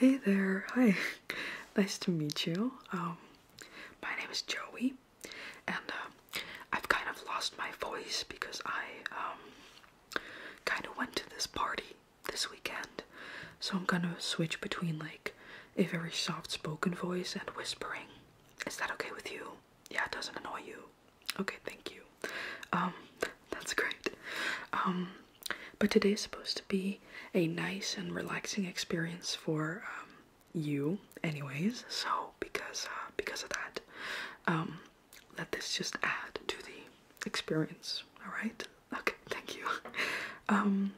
Hey there, hi. Nice to meet you. Um, my name is Joey, and um, I've kind of lost my voice because I um kind of went to this party this weekend. So I'm gonna switch between like a very soft spoken voice and whispering. Is that okay with you? Yeah, it doesn't annoy you. Okay, thank you. Um, that's great. Um, but today is supposed to be a nice and relaxing experience for um, you, anyways. So because uh, because of that, um, let this just add to the experience. All right. Okay, thank you. Um,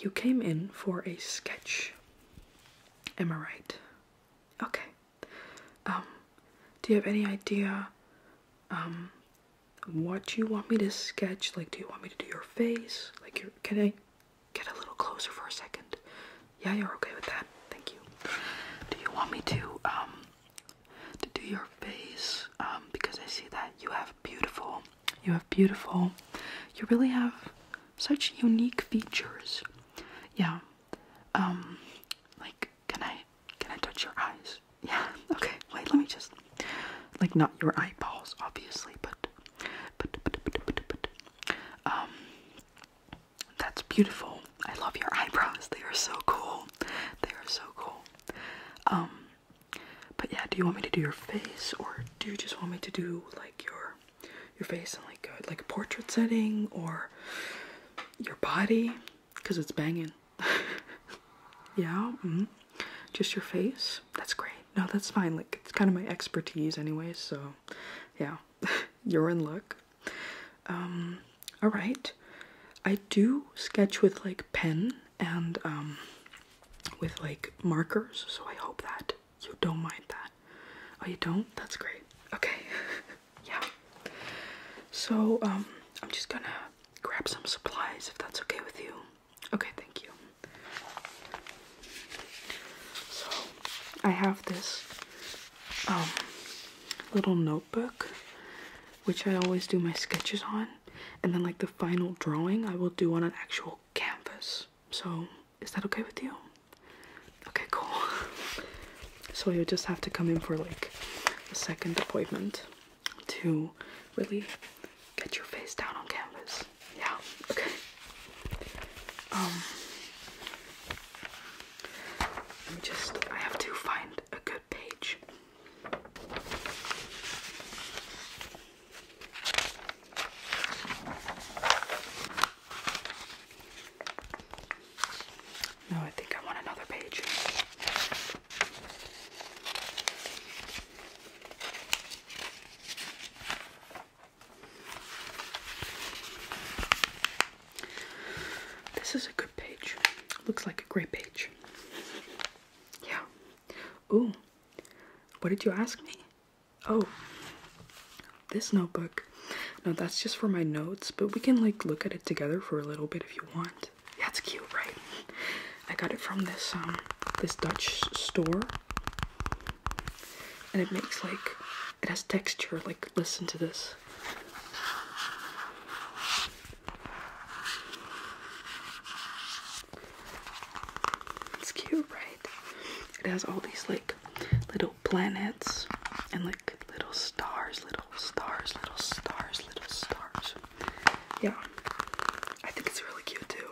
you came in for a sketch. Am I right? Okay. Um, do you have any idea um what you want me to sketch? Like, do you want me to do your face? Like, your, can I get a little closer for a second? Yeah, you're okay with that. Thank you. Do you want me to um to do your face um, because I see that you have beautiful, you have beautiful, you really have such unique features. Yeah. Um, like, can I, can I touch your eyes? Yeah. Okay. Wait. Let me just, like, not your eyeballs, obviously, but, but, but, but, but, but um, that's beautiful. I love your eyebrows. They are so cool. They are so cool. Um, but yeah, do you want me to do your face, or do you just want me to do like your your face in like a, like portrait setting, or your body? Cause it's banging. yeah. Mm-hmm. Just your face. That's great. No, that's fine. Like it's kind of my expertise anyway. So, yeah, you're in luck. Um, all right. I do sketch with like pen and um, with like markers. So I hope that you don't mind that. Oh, you don't? That's great. Okay. yeah. So um, I'm just gonna grab some supplies if that's okay with you. Okay, thank you. So I have this um, little notebook which I always do my sketches on and then like the final drawing I will do on an actual canvas. So is that okay with you? Okay, cool. So you'll just have to come in for like a second appointment to really get your face down on canvas. Yeah, okay. Um let me just I have to find a good page. No, I think I want another page. This is a good page. Looks like a great page. Yeah, Ooh, what did you ask me? Oh, this notebook. No, that's just for my notes, but we can like look at it together for a little bit if you want. Yeah, it's cute, right? I got it from this um this Dutch store. And it makes like it has texture, like listen to this. It's cute, right? It has all these like little planets and like little stars, little stars, little stars, little stars. Yeah. I think it's really cute too.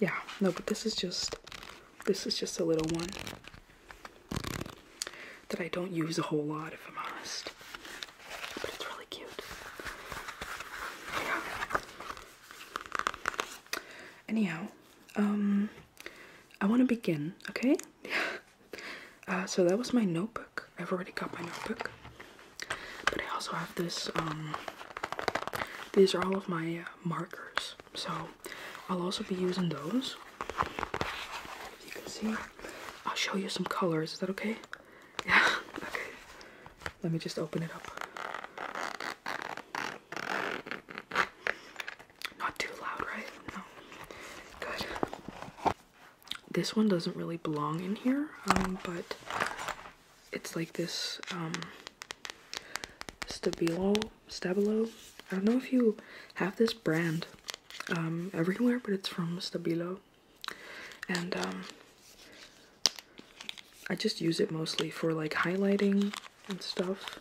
Yeah, no, but this is just this is just a little one that I don't use a whole lot if I'm honest but it's really cute. Yeah. Anyhow, um, I want to begin, okay? Uh, so that was my notebook. I've already got my notebook, but I also have this. Um, these are all of my uh, markers, so I'll also be using those. you can see, I'll show you some colors. Is that okay? Yeah, okay. Let me just open it up. Not too loud, right? No. Good. This one doesn't really belong in here, um, but it's like this um, Stabilo, Stabilo. I don't know if you have this brand um, everywhere, but it's from Stabilo and um, I just use it mostly for like highlighting and stuff,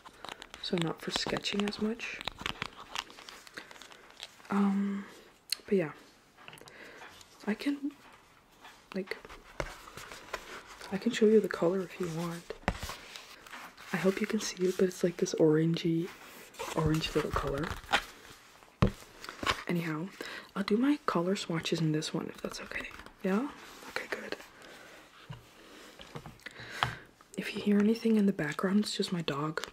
so not for sketching as much. Um, but yeah, I can like I can show you the color if you want. I hope you can see it, but it's like this orangey, orange little color. Anyhow, I'll do my color swatches in this one if that's okay. Yeah? Okay, good. If you hear anything in the background, it's just my dog.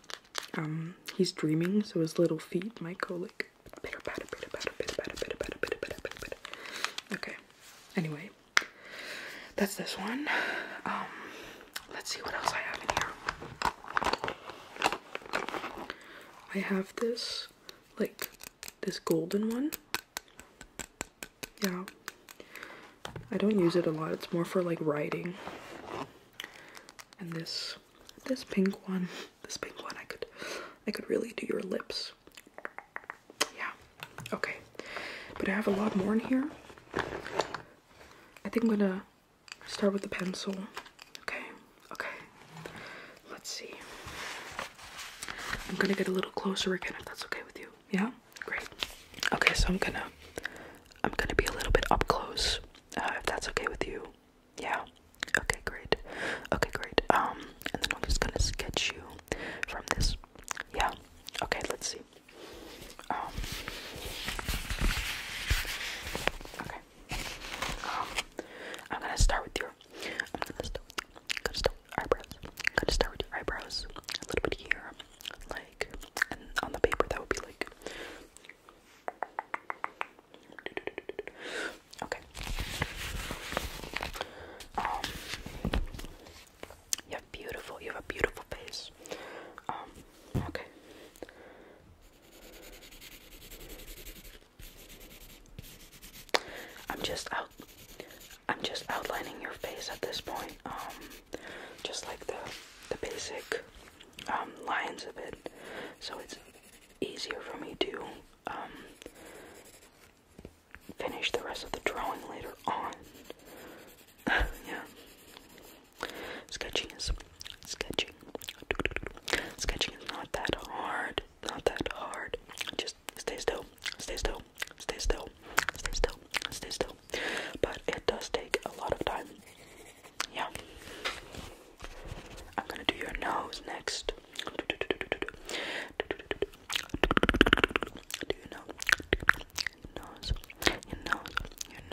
Um, he's dreaming, so his little feet might go like pitter patter, pitter patter, pitter patter, pitter patter, pitter patter, pitter patter. Okay. Anyway, that's this one. Um, let's see what else I have in here. I have this, like, this golden one. Yeah. I don't use it a lot. It's more for, like, writing. And this, this pink one. This pink one, I could, I could really do your lips. Yeah. Okay. But I have a lot more in here. I think I'm gonna Start with the pencil. Okay, okay. Let's see. I'm gonna get a little closer again if that's okay with you. Yeah? Great. Okay, so I'm gonna I'm gonna be a little bit up close, uh, if that's okay with you. Yeah. Okay, great. Okay, great. Um, and then I'm just gonna sketch you from this. Yeah. Okay, let's see. Um, okay. I'm gonna start with your. gonna start. With, eyebrows. gonna start with eyebrows. A little bit here, like, on the paper that would be like. Okay. Um, you have beautiful. You have a beautiful face. Um, okay. I'm just I'm just outlining your face at this point. Um, just like the the basic um, lines a bit, So it's easier for me to um, finish the rest of the drawing later on. yeah. Sketching is sketching. Sketching is not that hard. Not that hard. Just stay still. Stay still. Stay still. Stay still. Stay still. But it does take a lot of time. Yeah. I'm gonna do your nose next. Do Your nose, your nose, your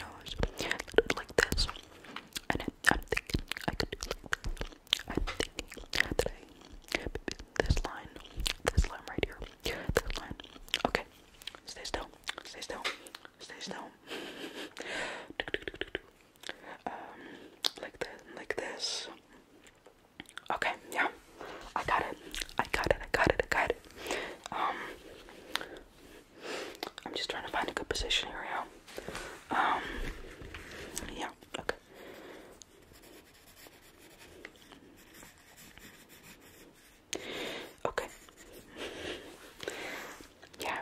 nose, like this, I'm, thinking I could do like I'm thinking that I this line, this line right here, this line. Okay, stay still, stay still, stay still. Um, like this, like this. Okay, yeah, I got it, I got it, I got it, I got it. Um, I'm just trying to find a good position here um, yeah, okay. Okay. Yeah,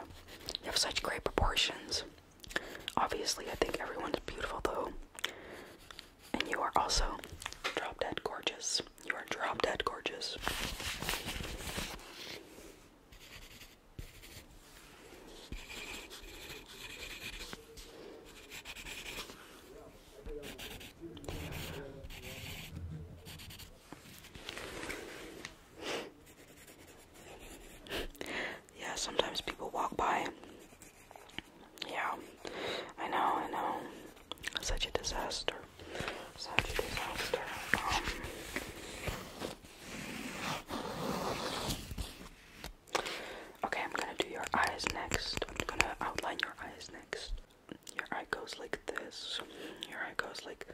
you have such great proportions. Obviously, I think everyone's beautiful though. And you are also drop dead gorgeous. You are drop dead gorgeous. Yeah, sometimes people walk by. Yeah, I know, I know. Such a disaster. Such a disaster. Um, Okay, I'm gonna do your eyes next. I'm gonna outline your eyes next. Your eye goes like this. Your eye goes like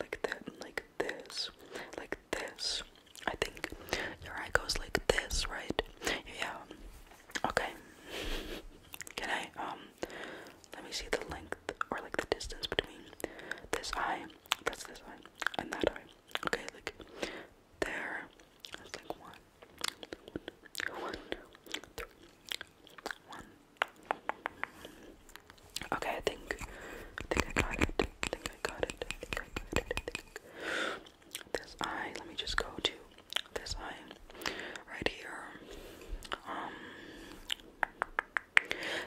like that like this. Like this. I think your eye goes like this, right? Yeah. Okay. Can I um let me see the length or like the distance between this eye, that's this eye, and that eye. Okay, like there. That's like one, one, one, three, one. Okay, I think, I think I got it. I think I got it. I think I got it. I think. This eye. Let me just go to this eye right here. Um,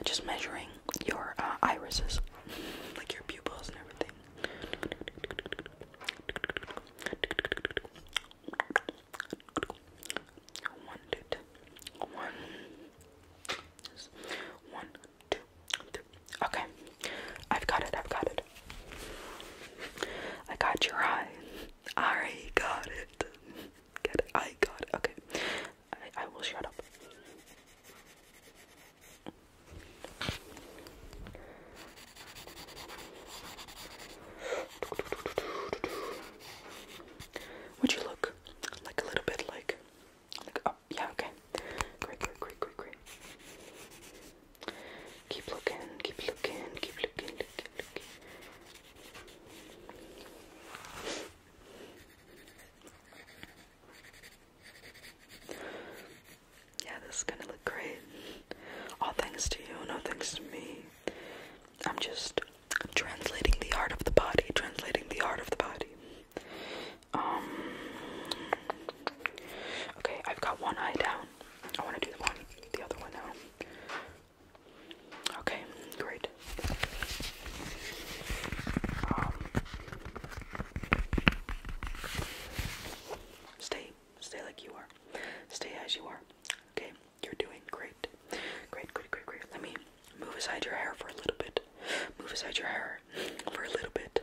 just measuring your uh, irises, like your pupils and everything. One, two, two. One. One, two, three. Okay, I've got it. I've got it. I got your eye. I got it. Get it? I got it. Okay. I, will shut up. Would you look like a little bit like, like oh yeah okay, great great great great Keep looking, keep looking, keep looking. Yeah, this is gonna look great. All thanks to you, no thanks to me. I'm just translating the art of the body, translating the art of the body. Um, okay, I've got one eye down. I want to do the one, the other one now. Okay, great. Um, stay, stay like you are. Stay as you are. Okay, you're doing great. Great, great, great, great. Let me move aside your hair for a little bit. Move aside your hair for a little bit.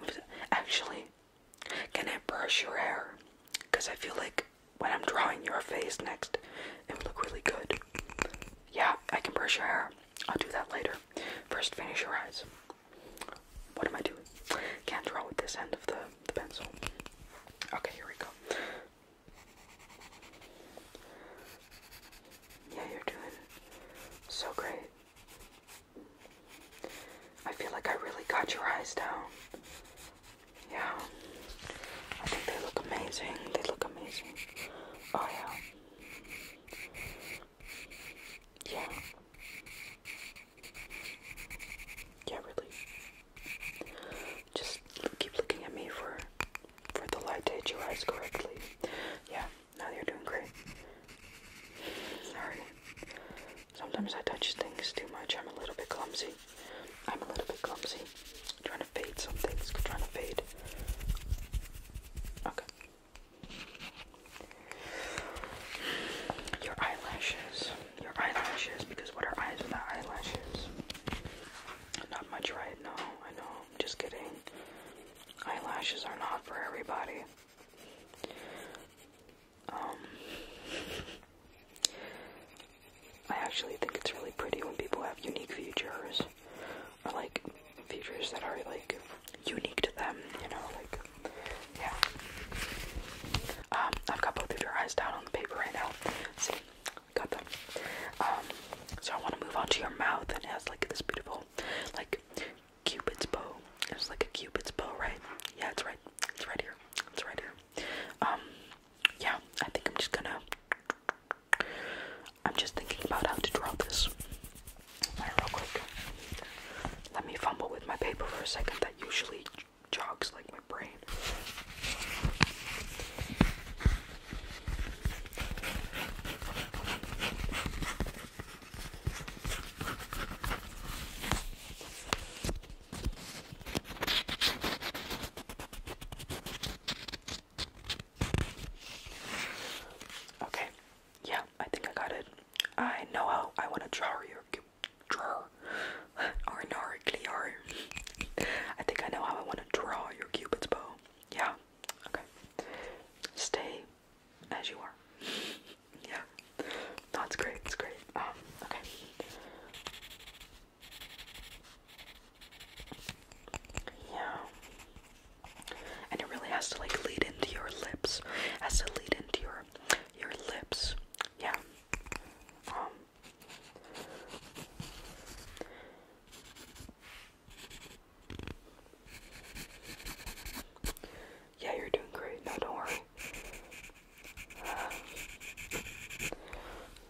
Move Actually, can I brush your hair? Because I feel like when I'm drawing your face next, it would look really good. Yeah, I can brush your hair. I'll do that later. First, finish your eyes. What am I doing? Can't draw with this end of the, the pencil. Okay, here we go. Yeah, you're doing so great. I feel like I really got your eyes down. Yeah. I think they look amazing. They look amazing. Oh yeah. Yeah. Yeah, really. Just keep looking at me for for the light to hit correctly. Yeah, now you're doing great. Sorry. Sometimes I touch things too much. I'm a little bit clumsy. I'm a little bit clumsy trying to fade some things. trying to fade. Okay. Your eyelashes. Your eyelashes, because what are eyes without eyelashes? Not much, right? No, I know. just kidding. Eyelashes are not for everybody. Um, I actually think it's really pretty when people have unique features, or like features that are like unique to them, you know, like yeah. Um, I've got both of your eyes down on the paper right now. See, got them. Um, so I want to move on to your mouth, and it has like this beautiful, like cupid's bow. It's like a cupid's bow, right? Yeah, it's right. It's right here. It's right here. Um, yeah, I think I'm just gonna. I'm just thinking about how to drop this. real quick. Let me fumble with my paper for a second. That usually jogs like my brain. Okay, yeah, I think I got it. I know how I want to draw your draw or I think I know how I want to draw your cupid's bow. Yeah, okay. Stay as you are. Yeah, that's great. It's great. Um, okay. Yeah. And it really has to like lead into your lips. has to lead into your your lips. Yeah. Um, yeah, you're doing great. No, don't worry. Uh,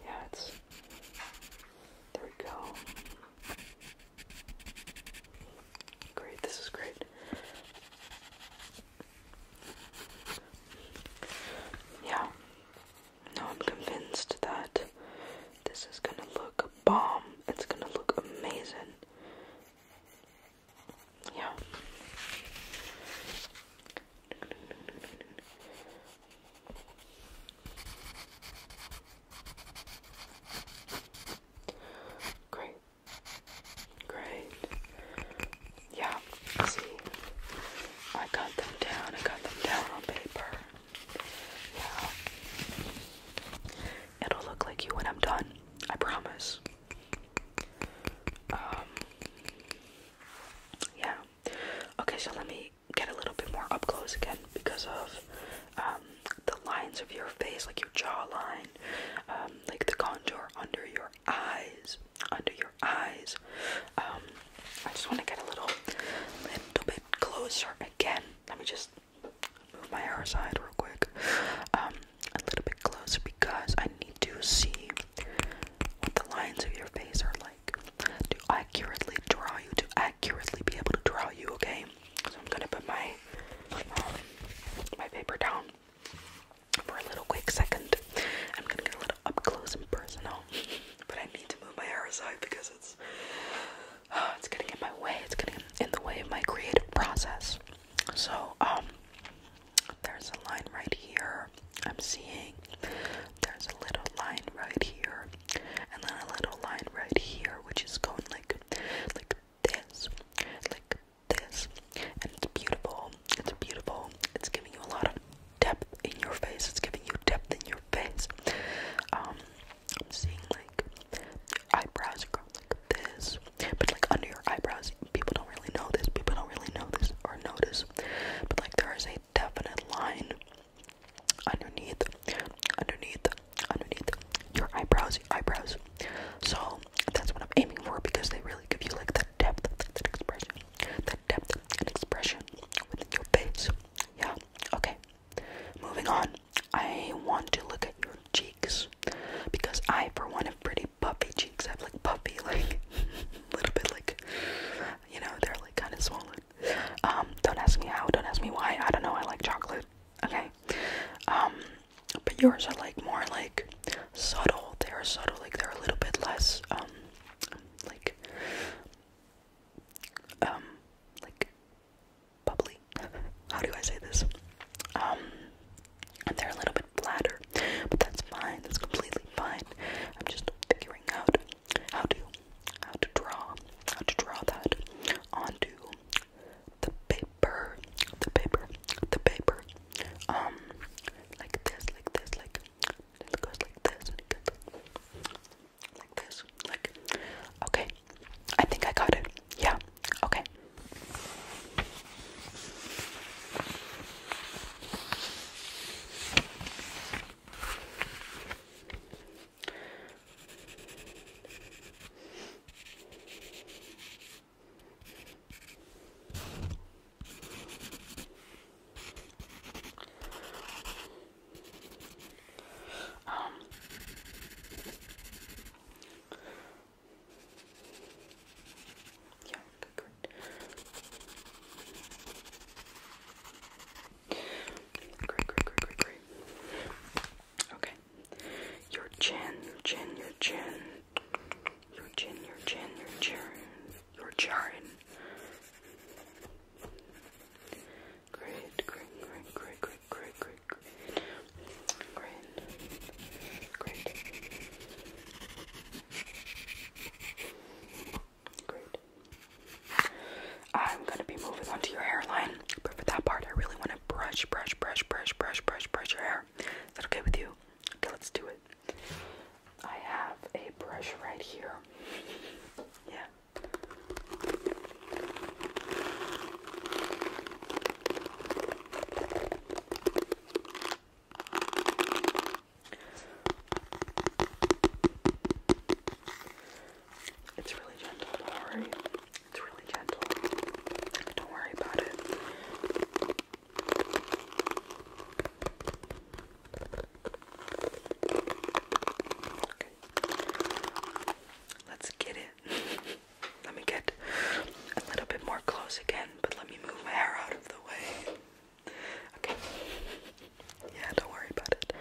yeah, it's there we go. Great, this is great. Yeah. Now I'm convinced that this is gonna look bomb. It's gonna look amazing. Yeah. Great. Great. Yeah, see, I got them down. I got them down on paper. Yeah. It'll look like you when I'm done. I promise. Um, yeah. Okay, so let me get a little bit more up close again because of um, the lines of your face, like your jawline, um, like the contour under your eyes, under your eyes. Um, I just want to get a little, little bit closer again. Let me just move my hair aside real quick. a little bit closer because I need to see what the lines of your face are like to accurately draw you, to accurately be able to draw you, okay? So I'm gonna put my um, my paper down for a little quick second. I'm gonna get a little up close and personal, but I need to move my hair aside because it's uh, it's gonna my way. It's going in the way of my creative process. So um, there's a line right here. I'm seeing there's a little line right here and then a little line right here which is going like like this like this and it's beautiful it's beautiful it's giving you a lot of depth in your face it's giving you depth in your face um i'm seeing like eyebrows go like this but like under your eyebrows people don't really know this people don't really know this or notice but like there is a definite line underneath, underneath, underneath your eyebrows, eyebrows. So that's what I'm aiming for because they really give you like the depth, that expression, the depth and expression within your face. Yeah. Okay. Moving on. I want to look at your cheeks because I, for one, have pretty puffy cheeks. I have like puffy, like a little bit like, you know, they're like kind of swollen. Um, don't ask me how, don't ask me why. I don't know. I like chocolate. Okay. Um, but yours are like more like subtle. They are subtle. Like they're a little bit less um, like um like bubbly. how do I say this? Um, and they're a little bit flatter, but that's fine. That's completely fine. I'm just figuring out how to how to draw how to draw that onto the paper the paper the paper um like this like this like it goes like this and it like this like okay I think I got it yeah okay um, yeah, good, great. Great, great, great, great, great. Okay. Your chin, chin, your chin. Your chin, your chin, your chin. Your chin. Great, great, great, great, great, great, great, great. Great. Great. Great. I'm gonna be moving on to your hairline, but for that part, I really want to brush, brush, brush, brush, brush, brush, brush your hair. Is that okay with you? Okay, let's do it. I have a brush right here. Yeah. It's really gentle, don't worry. It's really gentle. Don't worry about it. Okay. Let's get it. let me get a little bit more close again, but let me move my hair out of the way. Okay. Yeah, don't worry about it.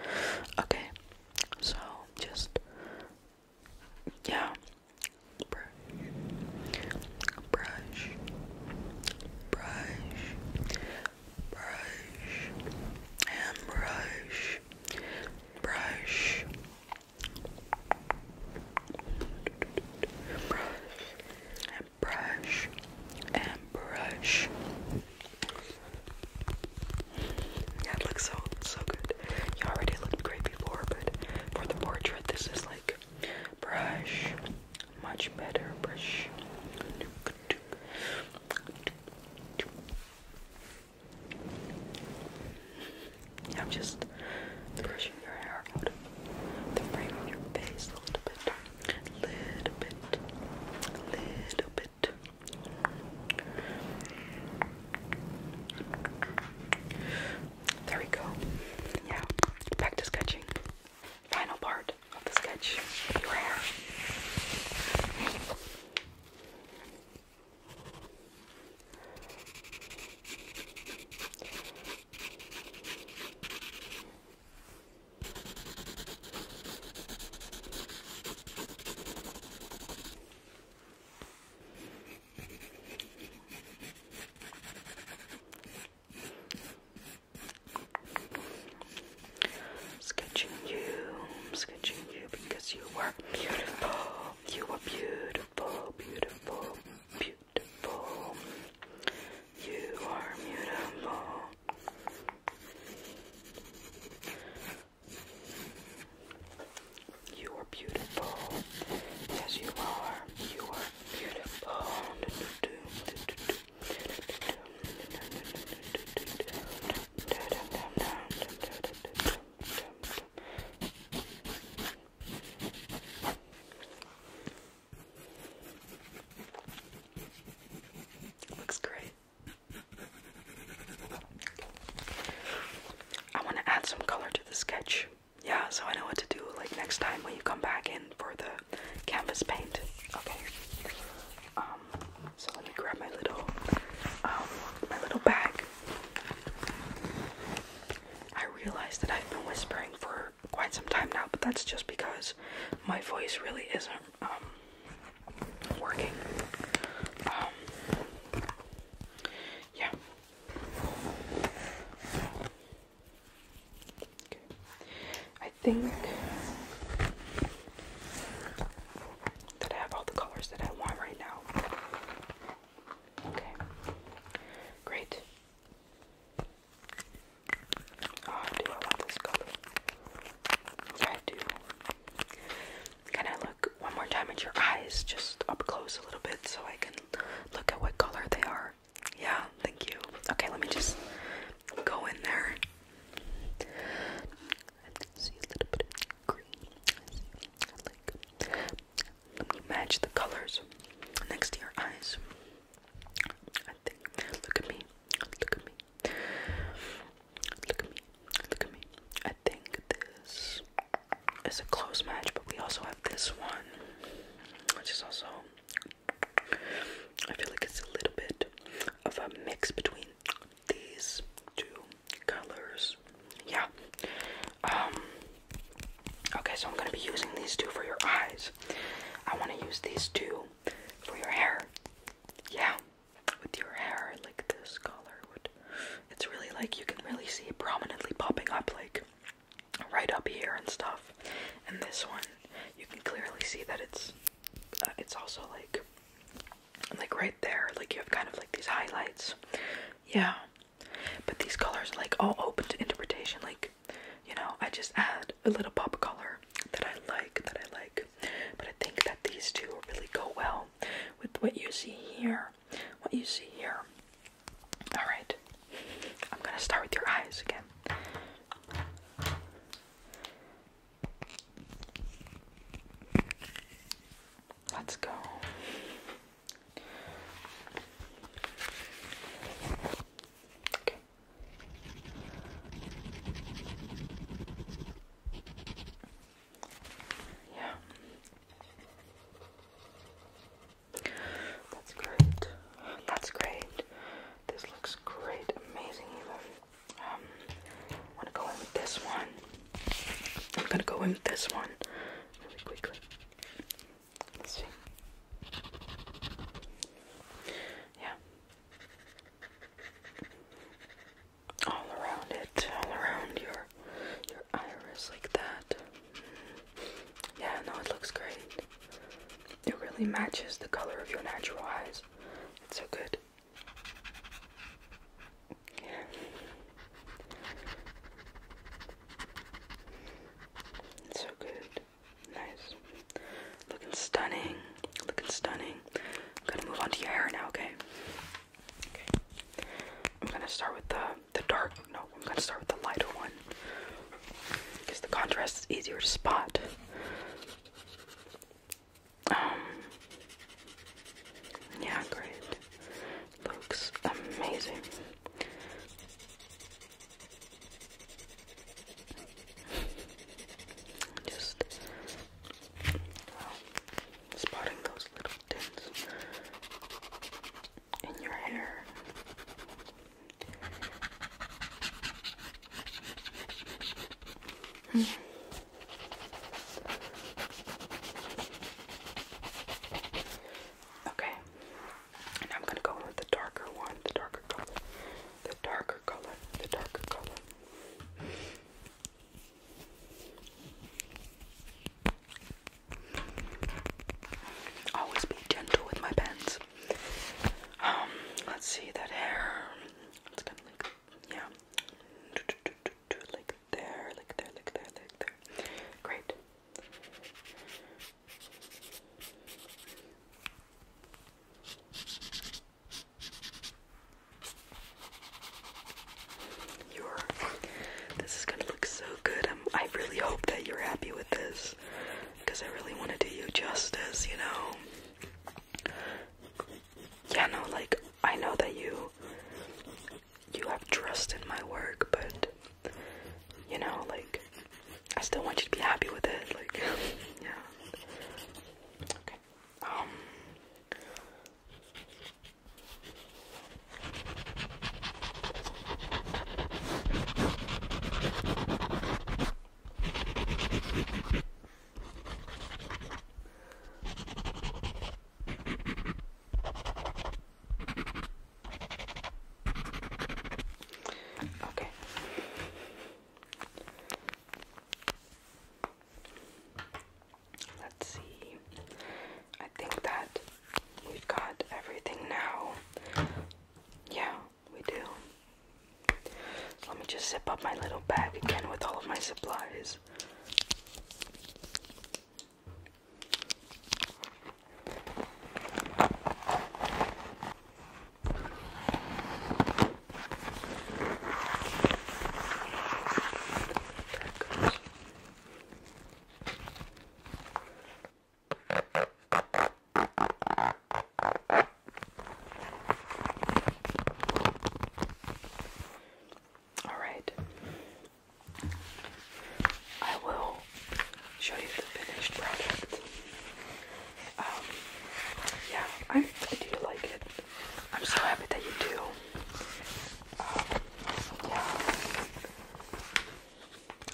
Okay. So just yeah. Brush. Brush. Brush. Brush. And brush. Brush. Brush and brush and brush that looks so so good. You already looked great before, but for the portrait, this is like brush, much better brush. I'm just brushing your hair out of the frame of your face a little bit little bit, little bit. There we go. Yeah, back to sketching. Final part of the sketch. Your Sketching you, sketching you because you were beautiful. You were beautiful, beautiful, beautiful. You are beautiful. You are beautiful. Yes, you are. You are beautiful. Looks great. I want to add some color to the sketch. Yeah, so I know what to do like next time when you come back in for the canvas paint. Okay. Um so let me grab my little um my little bag. I realize that I've been whispering for quite some time now, but that's just because my voice really isn't um, working. Um, yeah. Okay. I think that I have all the colors that I want right now. Okay. Great. Oh, do I want this color? Yeah, I do. Can I look one more time at your eyes, just up close a little bit, so I can look at what color they are? Yeah, thank you. Okay, let me just go in there. I see a little bit of green. Let me match the colors next to your eyes. I think. Look at me. Look at me. Look at me. Look at me. I think this is a close match, but we also have this one, which is also. I feel like it's a little bit of a mix between these two colors. Yeah. Um. Okay, so I'm gonna be using these two for your eyes. I want to use these two for your hair yeah, with your hair like this color it's really like you can really see it prominently popping up like right up here and stuff. And this one you can clearly see that it's uh, it's also like like right there, like you have kind of like these highlights. Yeah. But these colors like all open to interpretation like you know, I just add a little pop of color that I like, that I like. But I think that these two really go well with what you see here. What you see here. Alright. I'm gonna start with your eyes again. Let's go. Okay. Yeah. That's great. That's great. This looks great. Amazing even. Um I'm gonna go in with this one. I'm gonna go in with this one really quickly. Let's see. Yeah, all around it, all around your your iris like that. Yeah, no, it looks great. It really matches the color of your natural eyes. It's so good. Yeah. It's so good. Nice. Looking stunning. Looking stunning. I'm gonna move on to your hair now, okay? Okay. I'm gonna start with the the dark. No, I'm gonna start with the lighter one. Because the contrast is easier to spot. Um Yeah, great. Looks amazing. Just uh, spotting those little tints in your hair. Okay, and I'm gonna go with the darker one, the darker color the darker color, the darker color. Always be gentle with my pens. Um, let's see that hair. It's gonna like yeah. Like there, like there, like there, like there. Great. You're, this is gonna look so good. i really hope that you're happy with this because I really want to do you justice, you know. Yeah, no, like I know that you you have trust in my work, but you know, like I still want you to be happy with it. Like, yeah. Okay. Um. Okay. Let's see. I think that we've got everything now. Yeah, we do. let me just zip up my little bag again with all of my supplies. All right. I will show you the finished product um, yeah, I, I do like it. I'm so happy that you do. Um, yeah.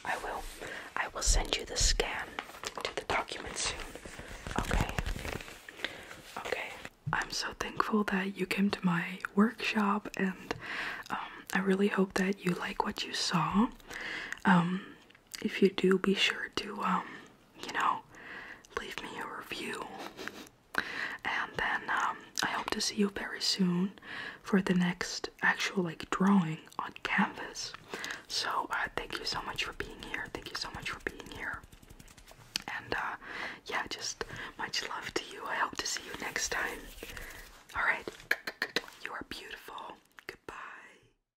I will. I will send you the scan to the document soon. Okay. Okay. I'm so thankful that you came to my workshop, and um, I really hope that you like what you saw. Um, if you do, be sure to, um, you know, leave me a review. And then um, I hope to see you very soon for the next actual like drawing on canvas. So uh, thank you so much for being here. Thank you so much for being here. And uh, yeah, just much love to you. I hope to see you next time. All right, you are beautiful. Goodbye.